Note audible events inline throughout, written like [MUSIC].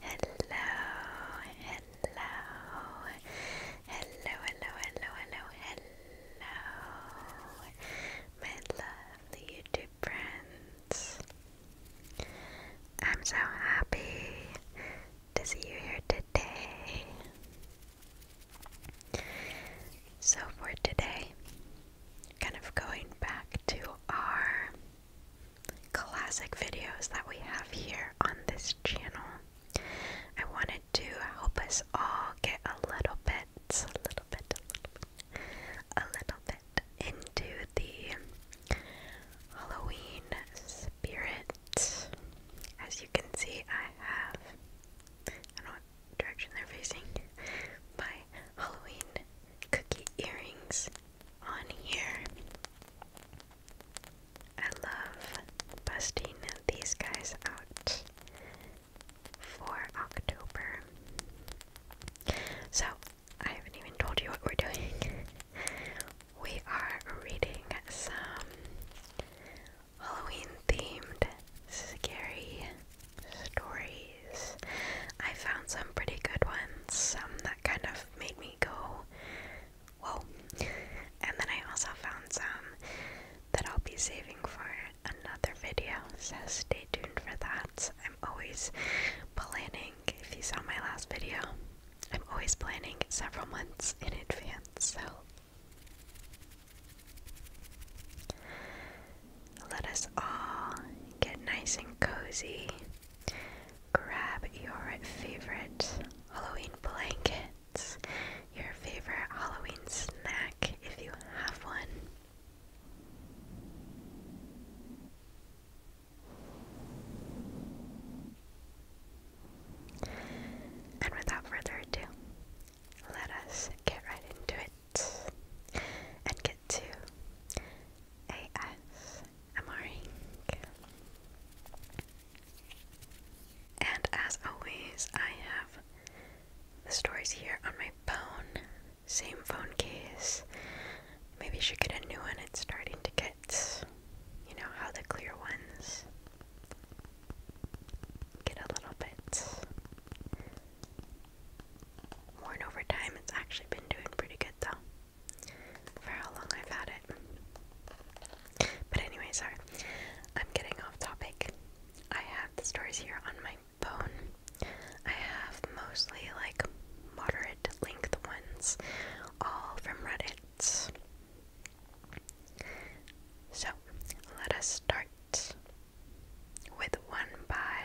hello, hello, hello, hello, my lovely YouTube friends. I'm so happy to see you here today. So, for today, kind of going back to our classic videos that we have here on this channel, I wanted to help us all get a little bit, a little bit, a little bit, into the Halloween spirit. As you can see, I have direction they're facing by Halloween cookie earrings on here. I love busting these guys out for October. So, I haven't even told you what we're doing. [LAUGHS] we are reading some Halloween themed scary stories. I found some pretty good ones, some that kind of made me go, whoa. And then I also found some that I'll be saving for another video, so stay tuned for that. I'm always planning, if you saw my last video, I'm always planning several months in advance, so let us all get nice and cozy. Grab your favorite Halloween blankets, your favorite Halloween snack if you have one. And without further ado, let us get right into it and get to ASMRing. And as always, I have the stories here on my phone, same phone case. Maybe I should get a new one. It's starting to get, you know, how the clear ones get a little bit worn over time. It's actually been doing pretty good though, for how long I've had it. But anyway, sorry, I'm getting off topic. I have the stories here on my phone. I have mostly like moderate length ones, all from Reddit. So let us start with one by,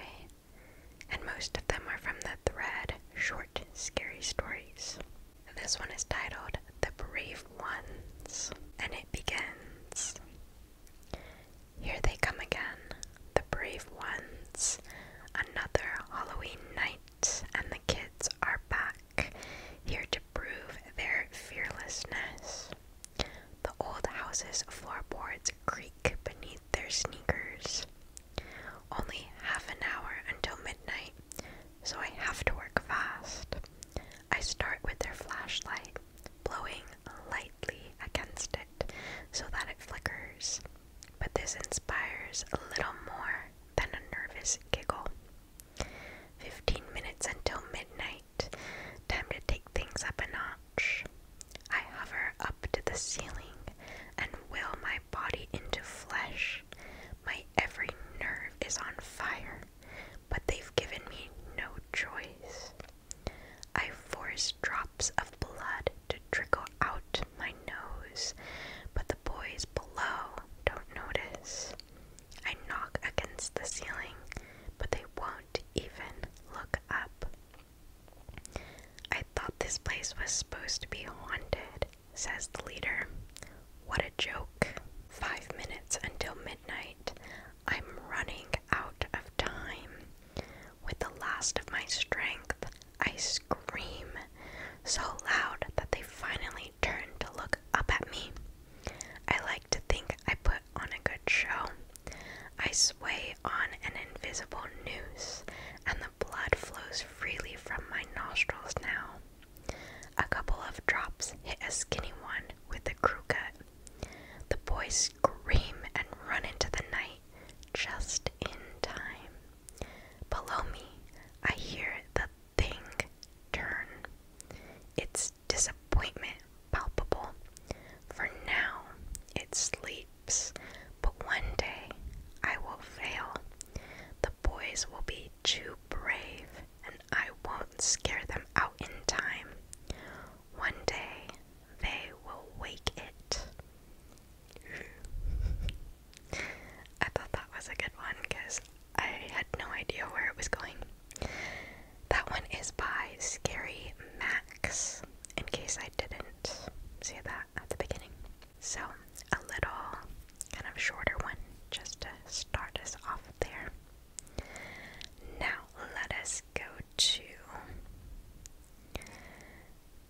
and most of them are from the thread Short Scary Stories. This one is titled The Brave Ones, and it begins Here they come again, the brave ones. Another Halloween night, and the kids are back, here to prove their fearlessness. The old house's floorboards creak beneath their sneakers. Only half an hour until midnight, so I have to work fast. I start with their flashlight, blowing lightly against it so that it flickers, but this inspires a little more than a nervous giggle. Fifteen minutes until midnight. Time to take things up a notch. I hover up to the ceiling and will my body into flesh. My every nerve is on fire, but they've given me no choice. I force drops of blood to trickle out my nose, but the boys below don't notice. I knock against the ceiling, but they won't even look up. I thought this place was supposed to be haunted, says the leader. What a joke. Five minutes until midnight. I'm running out of time. With the last of my strength, I scream so loud that they finally turn to look up at me. I like to think I put on a good show, I sway on an invisible noose, and the blood flows freely from my nostrils now. A couple of drops hit a skinny one with a crew cut. The boys scream and run into the night just in time. Below me, I hear the thing turn. It's disappointment palpable. For now it sleeps, but one day I will fail. The boys will be too brave, and I won't scare them out in time. One day they will wake it. [LAUGHS] I thought that was a good one because I had no idea where it was going. That one is by Scary Max, in case I didn't say that at the beginning. So, a little kind of shorter one just to start us off there. Now, let us go to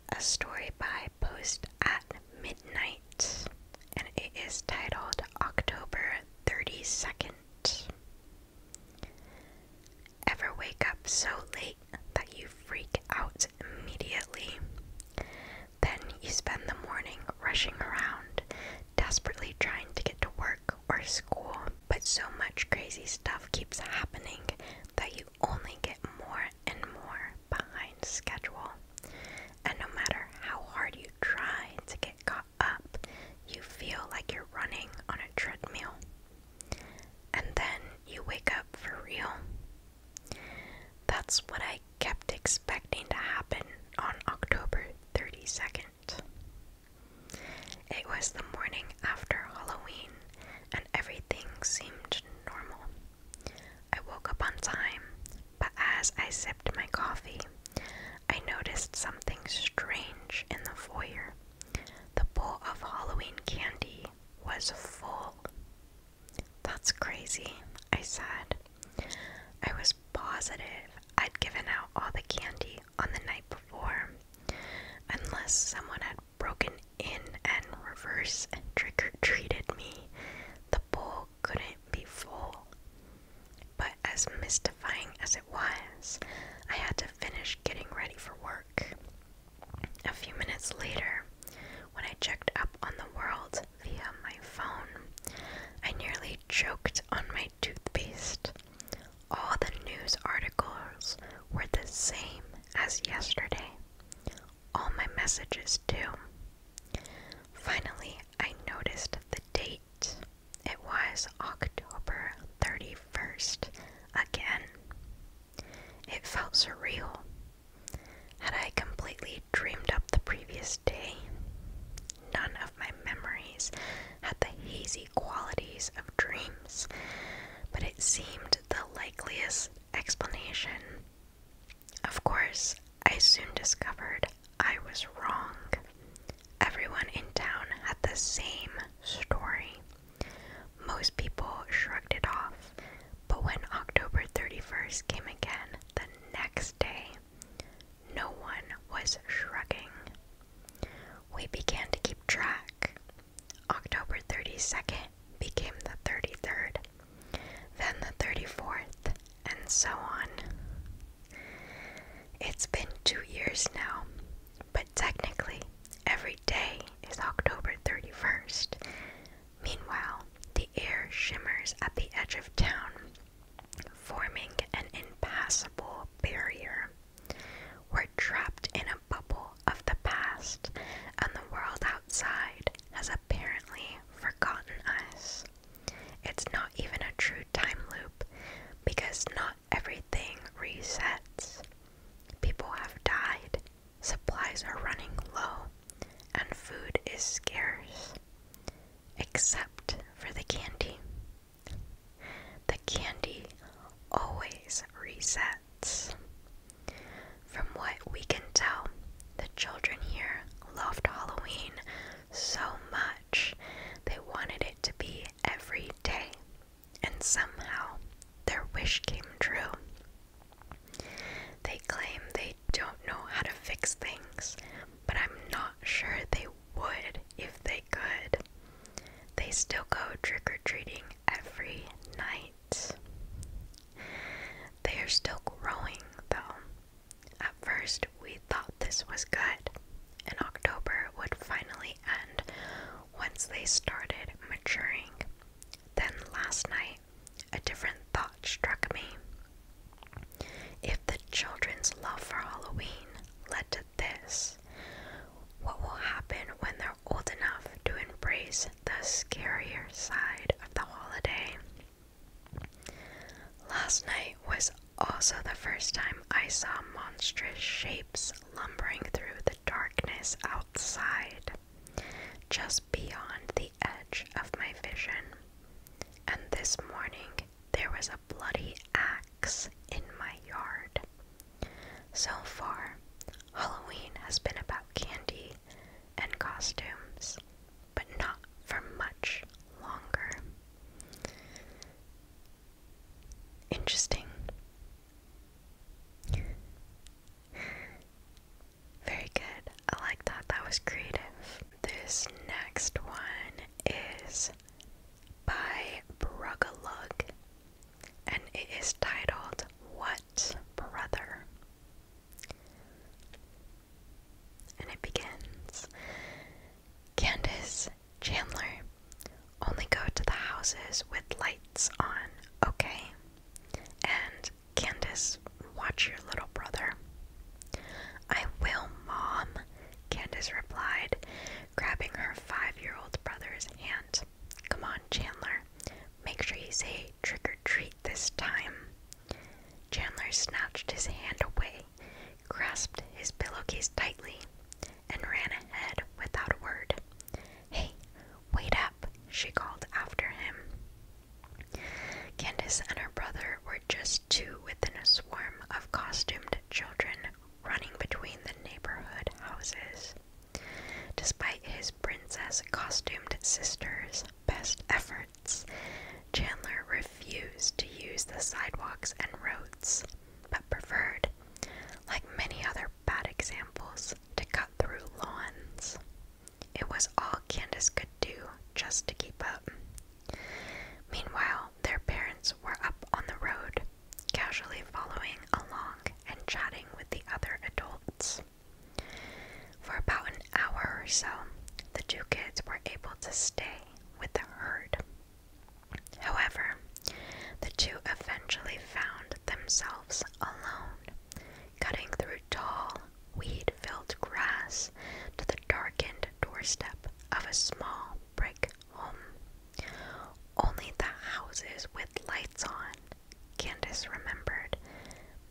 a story by Post at Midnight, and it is titled October 32nd. Ever wake up so late that you freak out immediately? Then you spend the morning rushing around, desperately trying to get to work or school, but so much crazy stuff keeps happening that you only get more and more behind schedule. And no matter how hard you try to get caught up, you feel like you're running on a treadmill. And then you wake up for real. That's what I kept expecting to happen on October 32nd. It was the morning after Halloween, and everything seemed normal. I woke up on time, but as I sipped my coffee, I noticed something strange in the foyer. The bowl of Halloween candy was full. That's crazy, I said. I was positive I'd given out all the candy on the night before, unless someone had broken in and reverse and trick or treated me. The bowl couldn't be full. But as mystifying as it was, I had to finish getting ready for work. A few minutes later, when I checked up on the world via my phone, I nearly choked on my toothpaste. All the news articles were the same as yesterday. All my messages, too. Finally, I noticed the date. It was October 31st again. It felt surreal. Had I completely dreamed up the previous day? None of my memories had the hazy qualities of dreams, but it seemed the likeliest explanation. Of course, I soon discovered I was wrong. Everyone in town had the same story. Most people shrugged it off, but when October 31st came again the next day, no one was shrugging. We began to keep track. October 32nd became the 33rd, then the 34th, and so on. It's been two years now, but technically, every day is October 31st. Meanwhile, the air shimmers at the edge of town, forming an impassable barrier. We're trapped in a bubble of the past, and the world outside has apparently forgotten us. It's not even a true time loop because not everything resets. People have died, supplies are running low, and food is scarce. Except for the candy. The candy always resets. From what we can tell, the children here loved Halloween so much. They wanted it to be every day, and somehow their wish came true. They claim they don't know how to fix things, but I'm not sure they would if they could. They still go trick or treating every night. They are still growing though. At first, we thought this was good, and October would finally end once they started maturing. Then last night, a different thought struck me. If the children's love for Halloween led to this, what will happen when they're old enough to embrace the scarier side of the holiday? Last night was also the first time I saw monstrous shapes lumbering through the darkness outside, just beyond the edge of my vision. And this morning there was a bloody axe in my yard. So far, Halloween has been about candy and costumes, but not for much longer. Interesting. Very good. I like that. That was creative. This next one is by Brugalug, and it is titled What Brother? And it begins Candace Chandler, only go to the houses with lights on, okay? And Candace, watch your little brother. I will, Mom, Candace replied, grabbing her five year old brother's hand. Come on, Chandler, make sure you say trick or treat this time. Chandler snatched his hand away grasped his pillowcase tightly, and ran ahead without a word. Hey, wait up, she called after him. Candace and her brother were just two within a swarm of costumed children running between the neighborhood houses. Despite his princess costumed sister's best efforts, Chandler refused to use the sidewalks and roads, but preferred, like many other bad examples, to cut through lawns. It was all Candace could do just to keep up. Meanwhile, their parents were up on the road, casually following along and chatting with the other adults. For about an hour or so, the two kids were able to stay with the herd. However, the two eventually found themselves alone, cutting through tall, weed filled grass to the darkened doorstep of a small brick home. Only the houses with lights on, Candace remembered,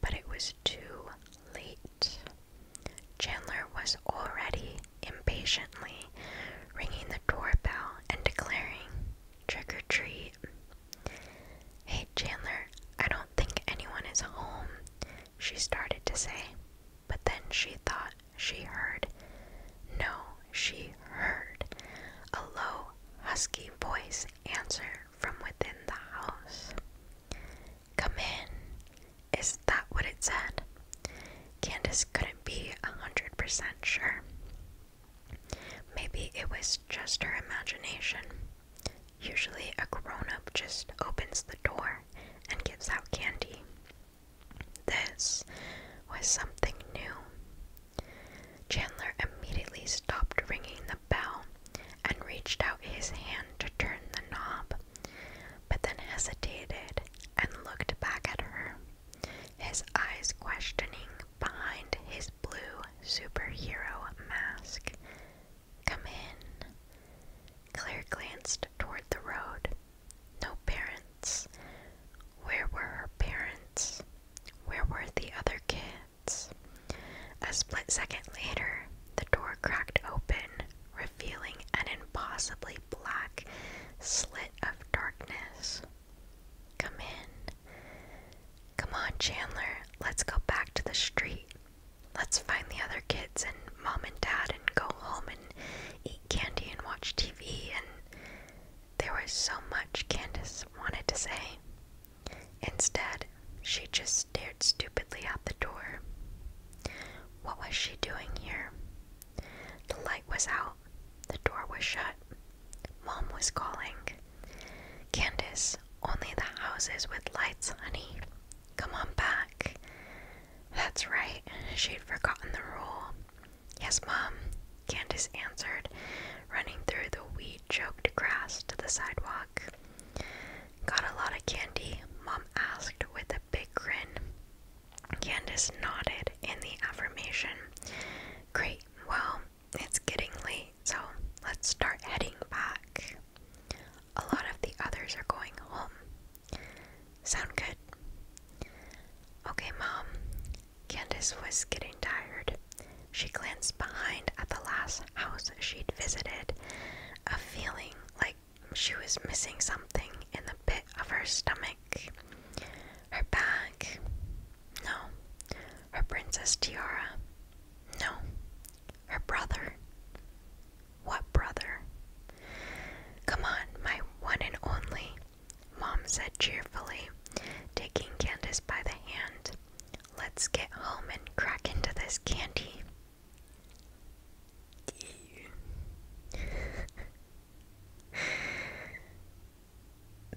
but it was too late. Chandler was already impatiently, ringing the doorbell and declaring, Trick or treat. Hey, Chandler, I don't think anyone is home, she started to say, but then she thought she heard. No, she heard a low, husky voice answer from within the house. Come in, is that what it said? Candace couldn't be a hundred percent sure. Maybe it was just her imagination. Usually, a grown up just opens the door and gives out candy. This was something new. Chandler immediately stopped ringing the bell and reached out his hand to turn the knob but then hesitated and looked back at her, his eyes questioning behind his blue superhero mask. Come in. Claire glanced toward the road. No parents. Where were her parents? Where were the other kids? A split second later, the door cracked open, revealing an impossibly black slit of darkness. Come in. Come on, Chandler. Let's go back to the street. Let's find the other kids and mom and dad and go home and eat candy and watch TV. And there was so much Candace wanted to say. Instead, she just stared stupidly out the door. What was she doing here? The light was out, the door was shut. Mom was calling. Candace, only the houses with lights, honey. Come on back. That's right, she'd forgotten the rule. Yes, Mom, Candace answered, running through the weed choked grass to the sidewalk. Got a lot of candy? Mom asked with a big grin. Candace nodded in the affirmation. Great, well, it's getting late, so let's start heading back. A lot of the others are going home. Sound good? Okay, Mom. Candace was getting tired. She glanced behind at the last house she'd visited, a feeling like she was missing something in the pit of her stomach. Her bag? No. Her princess tiara? No. Her brother? What brother? Come on, my one and only, Mom said cheerfully, taking Candace by the hand. Let's get home and crack into this candy.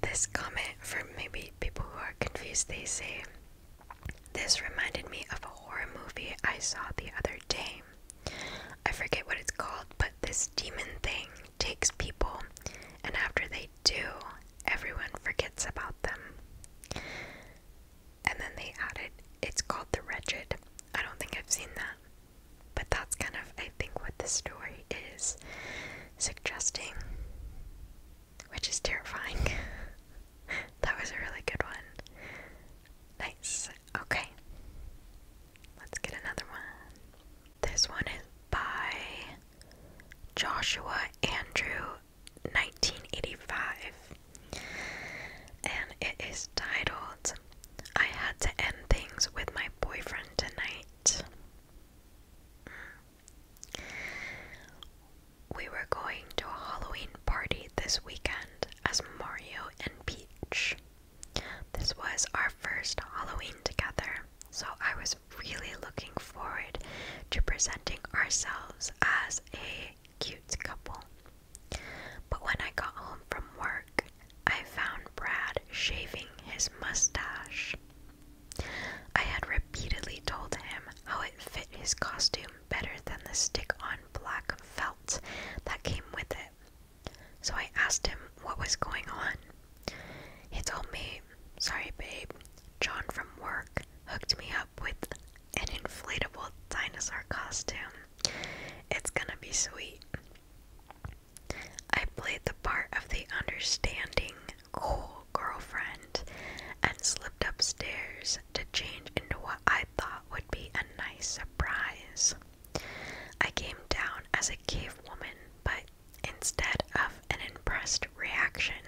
This comment from maybe people who are confused, they say, This reminded me of a horror movie I saw the other day. I forget what it's called, but this demon thing takes people, and after they do, everyone forgets about them. And then they added, It's called The Wretched. I don't think I've seen that. But that's kind of, I think, what the story is suggesting, which is terrifying. [LAUGHS] that was a really good one. Nice. Okay. Let's get another one. This one is by Joshua Andrew 1985. And it is titled I had to end things with my boyfriend tonight. Mm. We were going to a Halloween party this weekend as Mario and Peach. This was our first Halloween together, so I was really looking forward to presenting ourselves as a cute couple. But when I got home from work, I found Brad shaving his mustache. I had repeatedly told him how it fit his costume better than the stick on black felt that came with it. So I asked him what was going on. He told me, Sorry, babe, John from work hooked me up with an inflatable dinosaur costume. It's gonna be sweet. I played the part of the understanding, cool girlfriend and slipped upstairs to change into what I thought would be a nice surprise. I came down as a cave woman, but instead of an impressed reaction,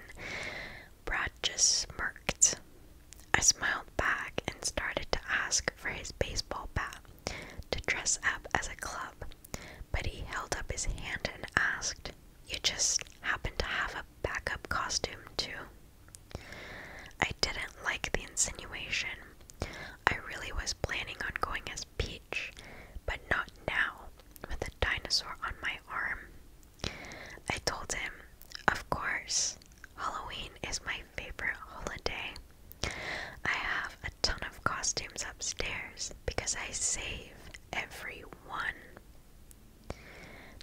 Brad just smirked. I smiled back and started to ask for his baseball bat to dress up as a club, but he held up his hand and asked, You just happen to have a backup costume, too? I didn't like the insinuation. I really was planning on going as Peach, but not now, with a dinosaur on my arm. I told him, Of course, Halloween is my favorite holiday. I have a ton of costumes upstairs because I save every one.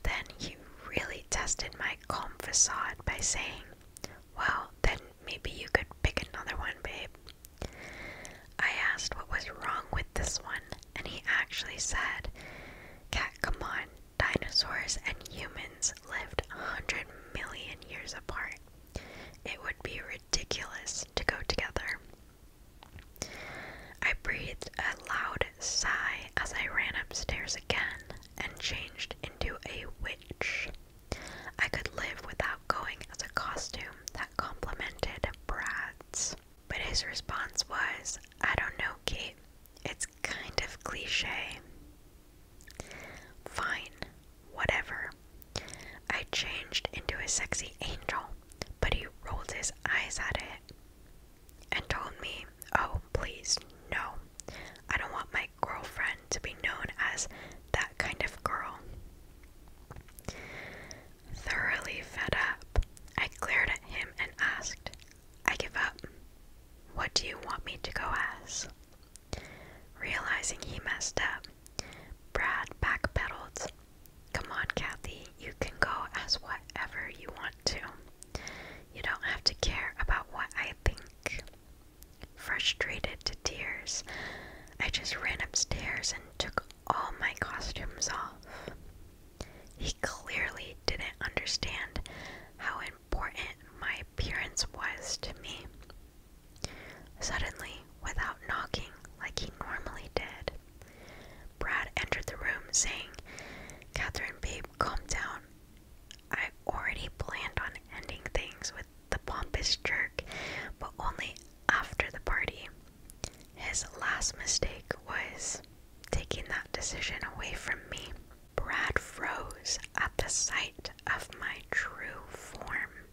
Then he really tested my calm facade by saying, Well, then maybe you could pick another one, babe. I asked what was wrong with this one, and he actually said, Cat, come on, dinosaurs and humans lived a hundred million years apart. It would be ridiculous to go together. I breathed a loud sigh as I ran upstairs again and changed into a witch. I could live without going as a costume that complemented Brad's. But his response was, I don't know, Kate. It's kind of cliche. Fine, whatever. I changed into a sexy angel, but he rolled his eyes at it and told me, Oh, please, no. I don't want my girlfriend to be known as that kind of girl. Thoroughly fed up, I glared at him and asked, I give up. What do you want me to go as? Realizing he messed up, Brad backpedaled. Come on, Kathy, you can go as whatever you want to. You don't have to care about what I think. Frustrated to tears, I just ran upstairs and took all my costumes off. He clearly didn't understand how it important my appearance was to me. Suddenly, without knocking like he normally did, Brad entered the room saying, Catherine, babe, calm down. I already planned on ending things with the pompous jerk, but only after the party. His last mistake was taking that decision away from me. Brad froze at the sight of my true form.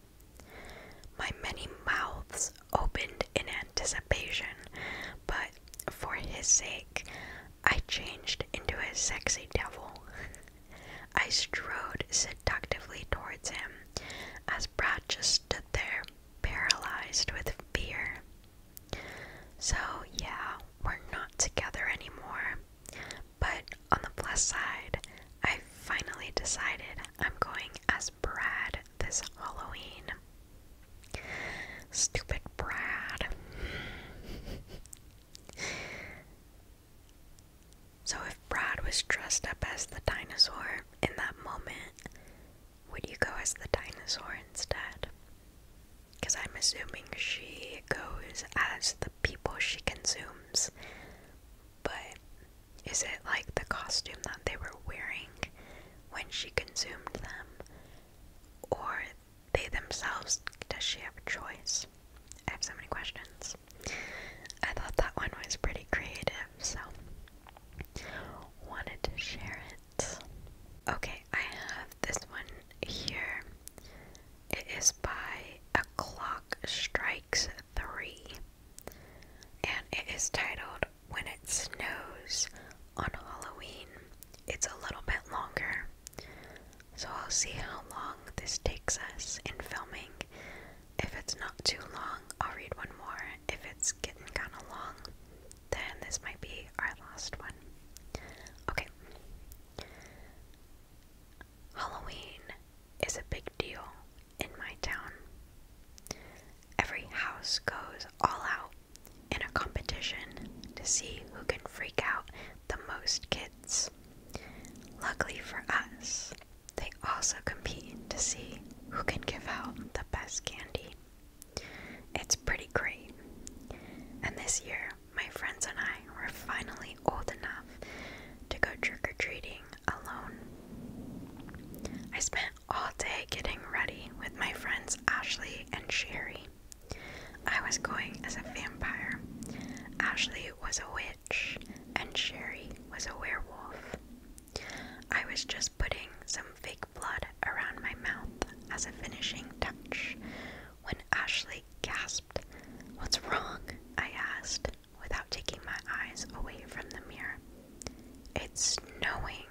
My many mouths opened in anticipation, but for his sake, I changed into a sexy devil. [LAUGHS] I strode seductively towards him as Brad just stood there, paralyzed with fear. So, yeah, we're not together anymore. But on the plus side, I finally decided I'm going as Brad this Halloween. Stupid Brad. so, if Brad was dressed up as the dinosaur in that moment, would you go as the dinosaur instead? Because I'm assuming she goes as the people she consumes. But is it like the costume that they were wearing when she consumed them? Or they themselves? Does she have a choice? I have so many questions. I thought that one was pretty creative, so wanted to share it. Okay, I have this one here. It is by A Clock Strikes Three, and it is titled When It Snows on Halloween. It's a little bit longer, so I'll see how long this takes us in filming. If it's not too long, I'll read one more. If it's getting kind of long, then this might be our last one. Okay. Halloween is a big deal in my town. Every house goes all out in a competition to see who can freak out the most kids. Luckily for us, they also compete to see who can give out the best candy. It's pretty great. And this year, my friends and I were finally old enough to go trick or treating alone. I spent all day getting ready with my friends Ashley and Sherry. I was going as a vampire, Ashley was a witch, and Sherry was a werewolf. I was just putting some fake blood around my mouth as a finishing touch when Ashley gasped. What's wrong? I asked, without taking my eyes away from the mirror. It's snowing.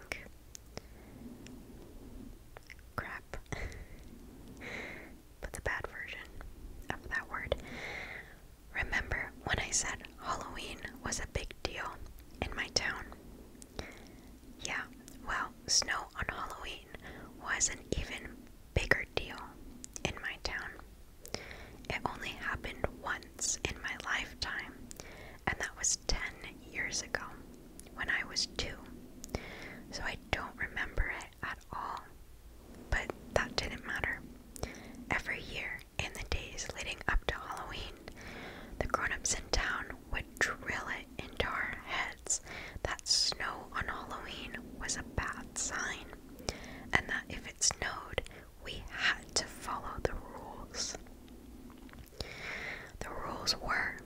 Crap. but [LAUGHS] the bad version of that word. Remember when I said Halloween was a big deal in my town? Yeah, well, snow on Halloween was an even bigger deal in my town. It only happened once in my lifetime, and that was 10 years ago when I was two. So I don't remember it at all. But that didn't matter. Every year, in the days leading up to Halloween, the grown ups in town would drill it into our heads that snow on Halloween was a bad sign and that if it snowed, we had to follow the rules. The rules were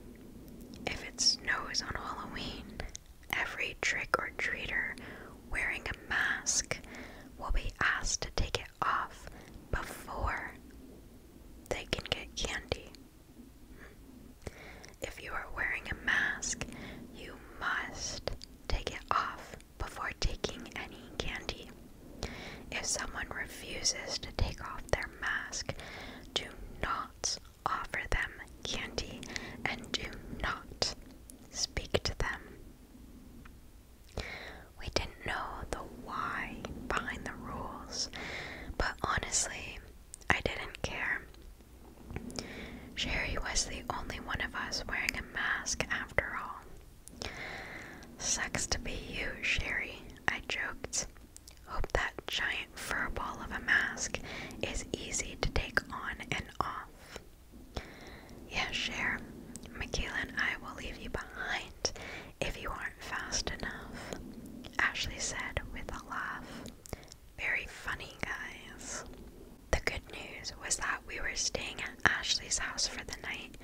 if it snows on Halloween, every trick or treater wearing a mask will be asked to take it off before they can get candy. If you are wearing a mask, you must take it off before taking any candy. If someone refuses to take off their mask, do not offer them candy and do not speak to them. We didn't know the why behind the rules, but honestly, I didn't care. Sherry was the only one of us wearing a mask after all. Sucks to be you, Sherry, I joked. Hope that giant fur ball of a mask is easy to take on and off. Yeah, Cher, Michaela and I will leave you behind if you aren't fast enough, Ashley said with a laugh. Very funny, guys. The good news was that we were staying at Ashley's house for the night,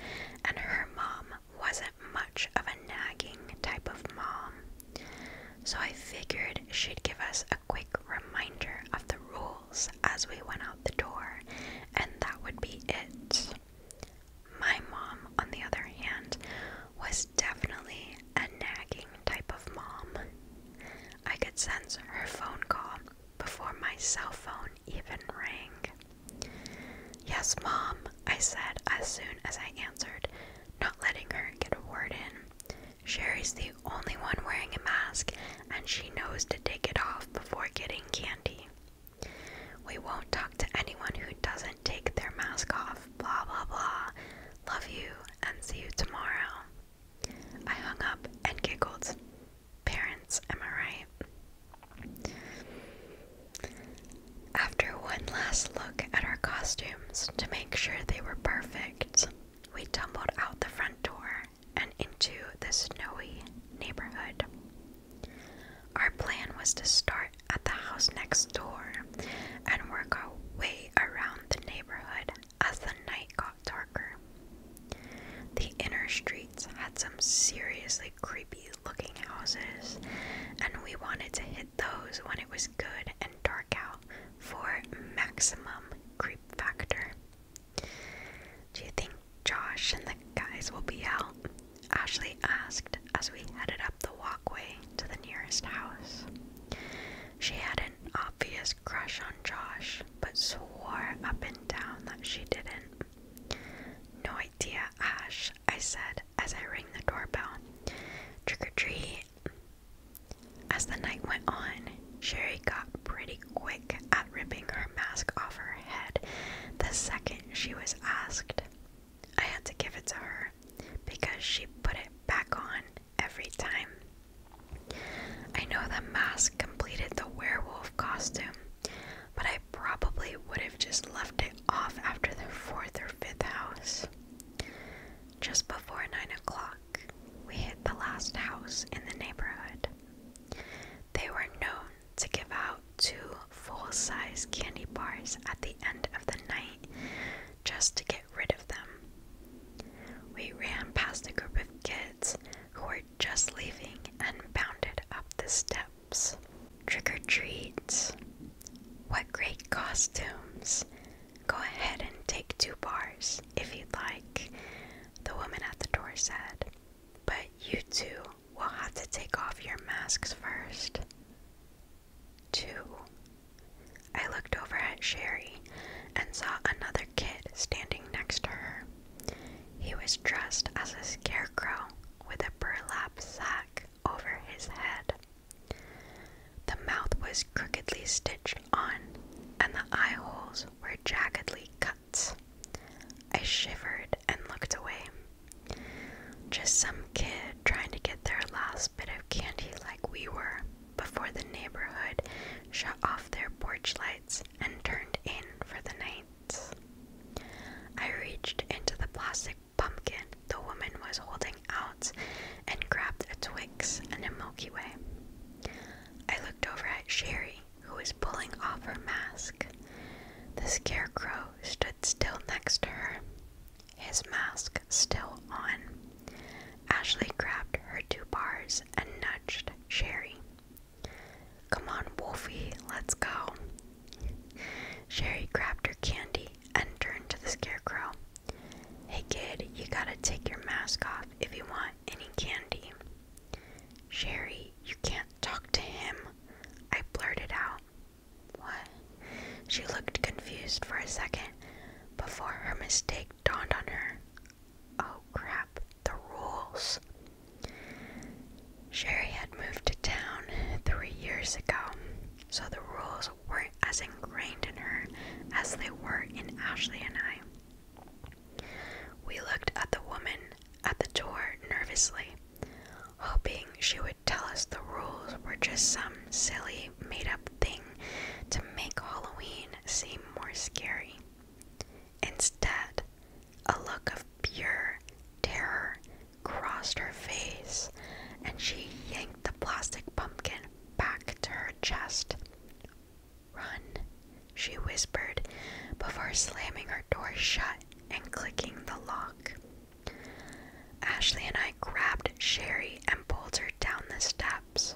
and her mom wasn't much of a nagging type of mom. So I figured she'd give us a quick reminder of the rules as we went out the door, and that would be it. My mom, on the other hand, was definitely a nagging type of mom. I could sense her phone call before my cell phone even rang. Yes, Mom, I said as soon as I answered, not letting her get a word in. Sherry's the only one wearing a mask, and she knows to take it off before getting candy. We won't talk to anyone who doesn't take their mask off, blah blah blah. Love you, and see you tomorrow. I hung up and giggled. Parents, am I right? After one last look at our costumes to make sure they were perfect, we tumbled out the front door and into this snowy neighborhood. Our plan was to start at the house next door and work our way around the neighborhood as the night got darker. The inner streets had some seriously creepy looking houses, and we wanted to hit those when it was good and dark out for maximum creep factor. Do you think Josh and the guys will be out? Ashley asked as we headed up the walkway to the nearest house. She had an obvious crush on Josh, but swore up and down that she didn't. No idea, Ash, I said as I rang the doorbell. Trick or treat. As the night went on, Sherry got pretty quick at ripping her mask off her head the second she was asked. I had to give it to her because she put it back on every time. I know the mask completed the werewolf costume, but I probably would have just left it off after the fourth or fifth house. Just before nine o'clock, we hit the last house in the neighborhood. They were known to give out two full size candy bars at the end of the night just to get rid of them. We ran past a group of kids who were just leaving and bounded up the steps. Trick or treats! What great costumes! Go ahead and take two bars if you'd like, the woman at the door said. But you two will have to take off your masks first. Two, I looked over at Sherry and saw another kid standing next to her. He was dressed as a scarecrow with a burlap sack over his head. The mouth was crookedly stitched on, and the eye holes were jaggedly cut. I shivered and looked away. Just some kid trying to get their last bit of candy like we were before the neighborhood shut off their porch lights and turned in for the night. I reached into the plastic pumpkin the woman was holding out and grabbed a Twix and a Milky Way. I looked over at Sherry, who was pulling off her mask. The scarecrow stood still next to her, his mask still on. Ashley grabbed her two bars and nudged Sherry. Come on, Wolfie, let's go. Sherry grabbed her candy and turned to the scarecrow. Hey kid, you gotta take your mask off if you want any candy. Sherry, you can't talk to him, I blurted out. What? She looked confused for a second before her mistake dawned on her oh crap, the rules. Sherry had moved to town three years ago, so the rules were as ingrained in her as they were in Ashley and I. We looked at the woman at the door nervously, hoping she would tell us the rules were just some silly, made up thing to make Halloween seem more scary. Instead, a look of pure terror crossed her face, and she yanked the plastic pumpkin back to her chest. Run, she whispered before slamming her door shut and clicking the lock. Ashley and I grabbed Sherry and pulled her down the steps.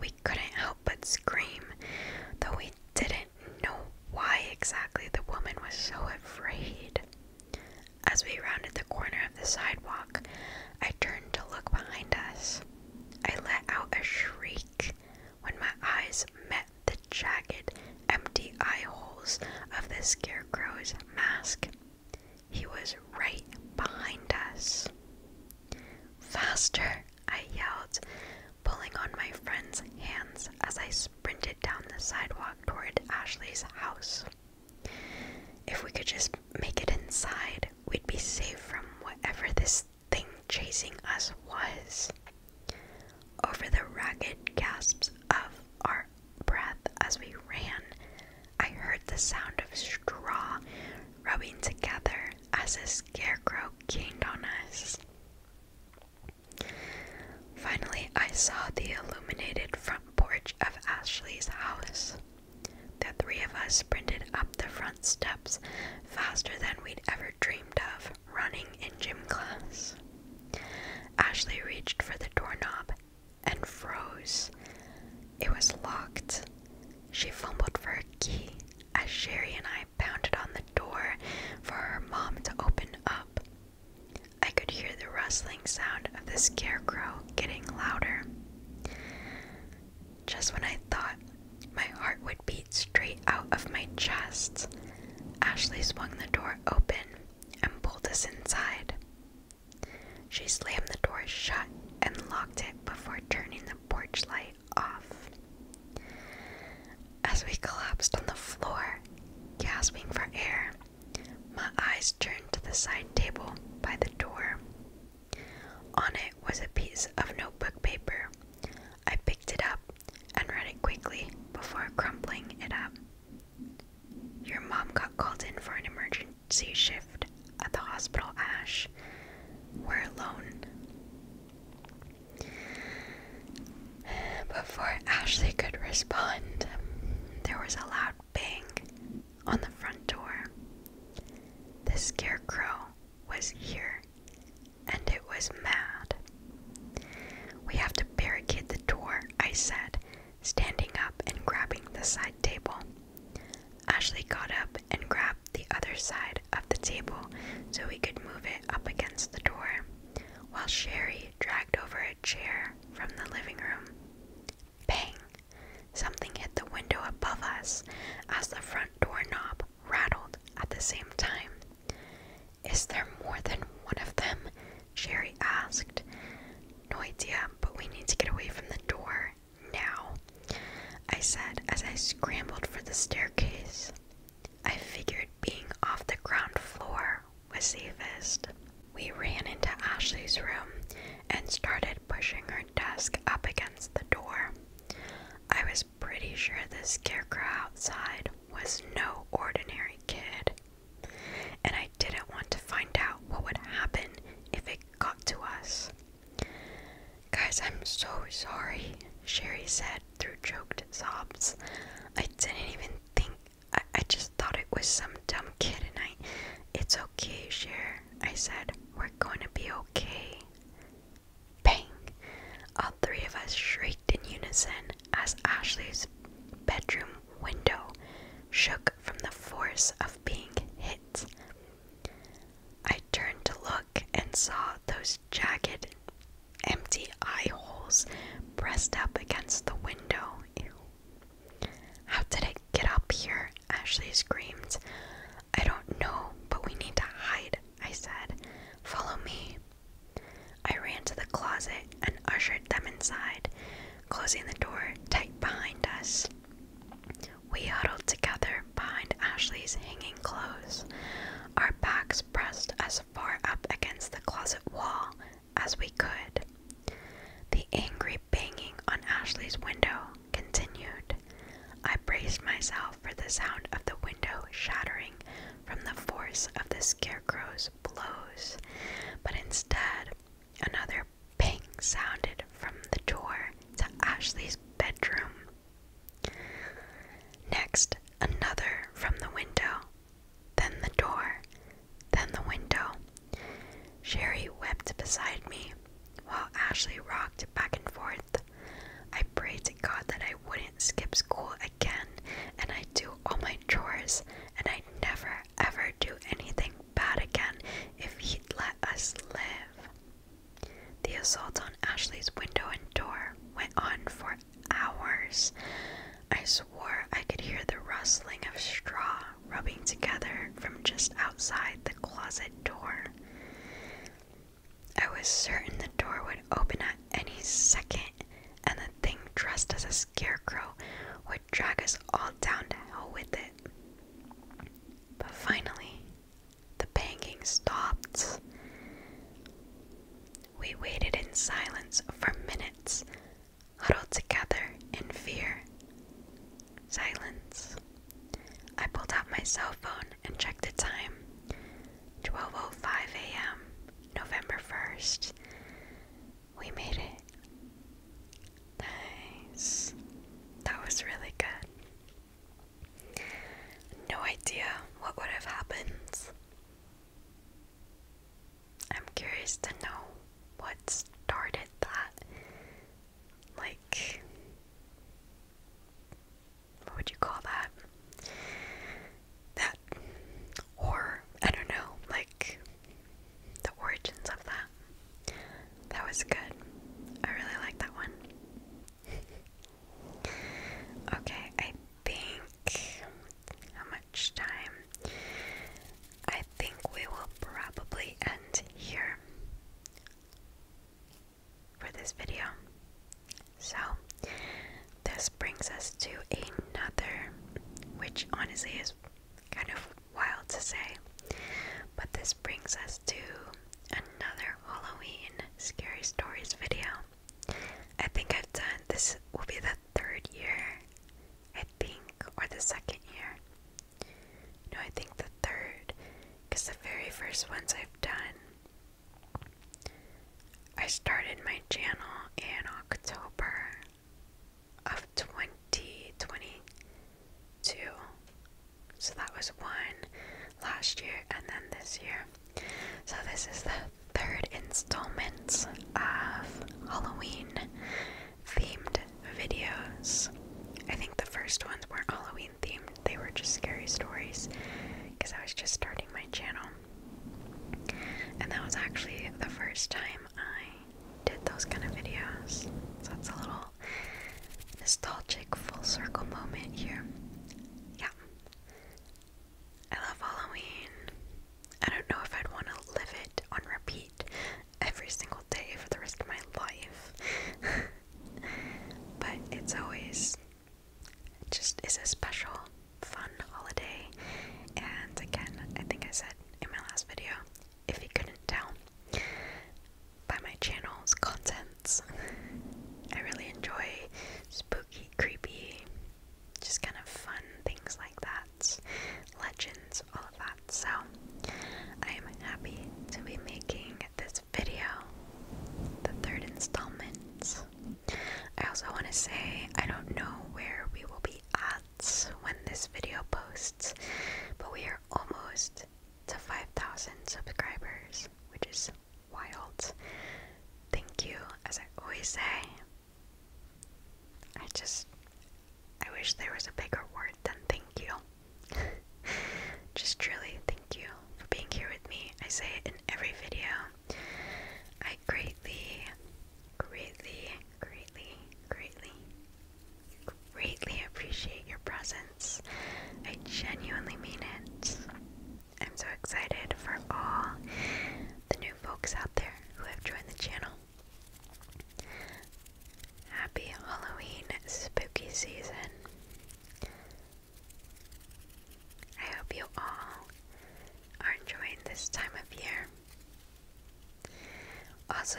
We couldn't help but scream, though we didn't know why exactly the woman was so afraid. As we rounded the corner of the sidewalk, I turned to look behind us. I let out a shriek when my eyes met the jagged, empty eye holes of the scarecrow's mask. He was right behind us. Faster, I yelled, pulling on my friend's hands as I sprinted down the sidewalk toward Ashley's house. If we could just make it inside, we'd be safe from whatever this thing chasing us was. Over the ragged gasps of our breath as we ran, I heard the sound of straw rubbing together as a scarecrow gained on us. Finally, I saw the illuminated front porch of Ashley's house. The three of us sprinted up the front steps faster than we'd ever dreamed of running in gym class. Ashley reached for the doorknob and froze. It was locked. She fumbled for a key as Sherry and I pounded on the door for her mom to open up. I could hear the rustling sound of the scarecrow getting louder. Just when I thought my heart would beat straight out of my chest, Ashley swung the door open and pulled us inside. She slammed the door shut and locked it before turning the porch light off. As we collapsed on the floor, gasping for air, my eyes turned to the side table by the door. On it was a piece of notebook paper. I picked it up and read it quickly before crumpling it up. Your mom got called in for an emergency emergency shift at the hospital Ash we're alone. Before Ashley could respond, there was a loud bang on the front door. The scarecrow was here and it was mad. We have to barricade the door, I said, standing up and grabbing the side table. Ashley got up and grabbed the other side of the table so we could move it up against the door, while Sherry dragged over a chair from the living room. Bang! Something hit the window above us as the front door knob rattled at the same time. Is there more than one of them? Sherry asked. No idea, but we need to get away from the door now, I said as I scrambled for the staircase. I figured being off the ground floor was safest. We ran into Ashley's room and started pushing her desk up against the door. I was pretty sure the scarecrow outside was no ordinary kid, and I didn't want to find out what would happen if it got to us. Guys, I'm so sorry, Sherry said through choked sobs. I didn't even think, I, just thought it was some dumb kid, and I. It's okay, Sherry," I said. We're going to be okay. Bang! All three of us shrieked in unison as Ashley's bedroom window shook from the force of being hit. I turned to look and saw those jagged, empty eye holes pressed up against the window. How did it get up here? Ashley screamed. I don't know, but we need to hide, I said. Follow me. I ran to the closet and ushered them inside, closing the door tight behind us. We huddled together behind Ashley's hanging clothes, our backs pressed as far up against the closet wall as we could. The angry banging on Ashley's window continued. I braced myself for the sound of the window shattering from the force of the scarecrow's blows, but instead Another ping sounded from the door to Ashley's bedroom. Next, another from the window, then the door, then the window. Sherry wept beside me while Ashley rocked back and forth. I prayed to God that I wouldn't skip school again and I'd do all my chores and I'd never ever do anything bad again if he'd let us live. The assault on Ashley's window and door went on for hours. I swore I could hear the rustling of straw rubbing together from just outside the closet door. I was certain the door would open at any second, and the thing dressed as a scarecrow would drag us all down to hell with it. But finally, the banging stopped. We waited in silence for minutes, huddled together in fear. Silence. I pulled out my cell phone and checked the time. 12:05 a.m. November 1st. We made it. Nice. That was really good. No idea what would have happened. I'm curious to know what started that. Like, what would you call that? That, or I don't know, like, the origins of that. That was good. I really like that one. [LAUGHS] okay, I think how much time? I think we will probably end here for this video. So, this brings us to another, which honestly is kind of wild to say. But this brings us to another Halloween scary stories video. I think I've done this will be the third year, I think, or the second year. No, I think the third, because the very first ones I've done, I started my channel in October of 2022. So that was one last year and then this year. So this is the third installment of Halloween themed videos. I think the first ones weren't Halloween themed, they were just scary stories because I was just starting my channel. And that was actually the first time I did those kind of videos. So it's a little nostalgic full circle moment here. Yeah. I love Halloween. I don't know if I'd want to live it on repeat every single day for the rest of my life. [LAUGHS] but it's always just is a special, fun holiday. And again, I think I said in my last video, if you couldn't tell by my channel's contents. I really enjoy spooky, creepy, just kind of fun things like that, legends, all of that. So I am happy to be making this video, the third installment. I also want to say I don't know where we will be at when this video posts, but we are almost to 5,000 subscribers, which is wild. Thank you, as I always say. I just, I wish there was a bigger word than thank you. [LAUGHS] just truly thank you for being here with me. I say it in every video. I greatly, greatly, greatly, greatly, greatly appreciate your presence. I genuinely mean it. I'm so excited for all the new folks out there who have joined the channel. Happy Halloween spooky season. I hope you all are enjoying this time of year. Also,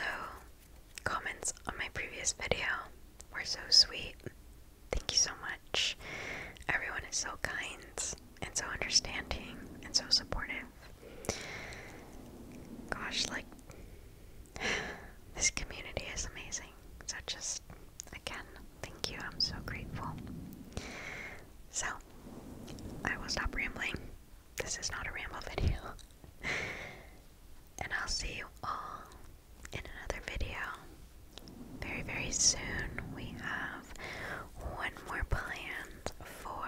comments on my previous video were so sweet. Thank you so much. Everyone is so kind and so understanding and so supportive. Gosh, like, [SIGHS] this community is amazing. So, just again, thank you. I'm so grateful. So, I will stop rambling this is not a ramble video. and I'll see you all in another video very, very soon. We have one more plan for,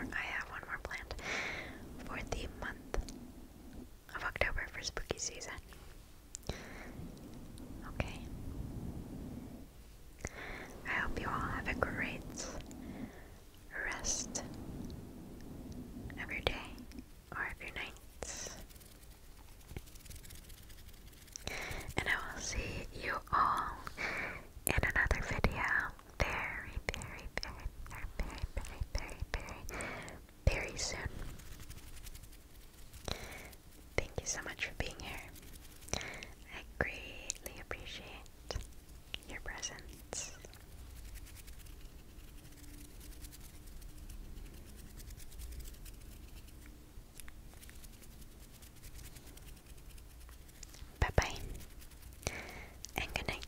I have one more planned for the month of October for spooky season. Okay. I hope you all have a great rest of your day or of your nights. And I will see you all in another video very, very, very, very, very, very, very, soon. Thank you so much for being here. I greatly appreciate your presence. Bye bye good night.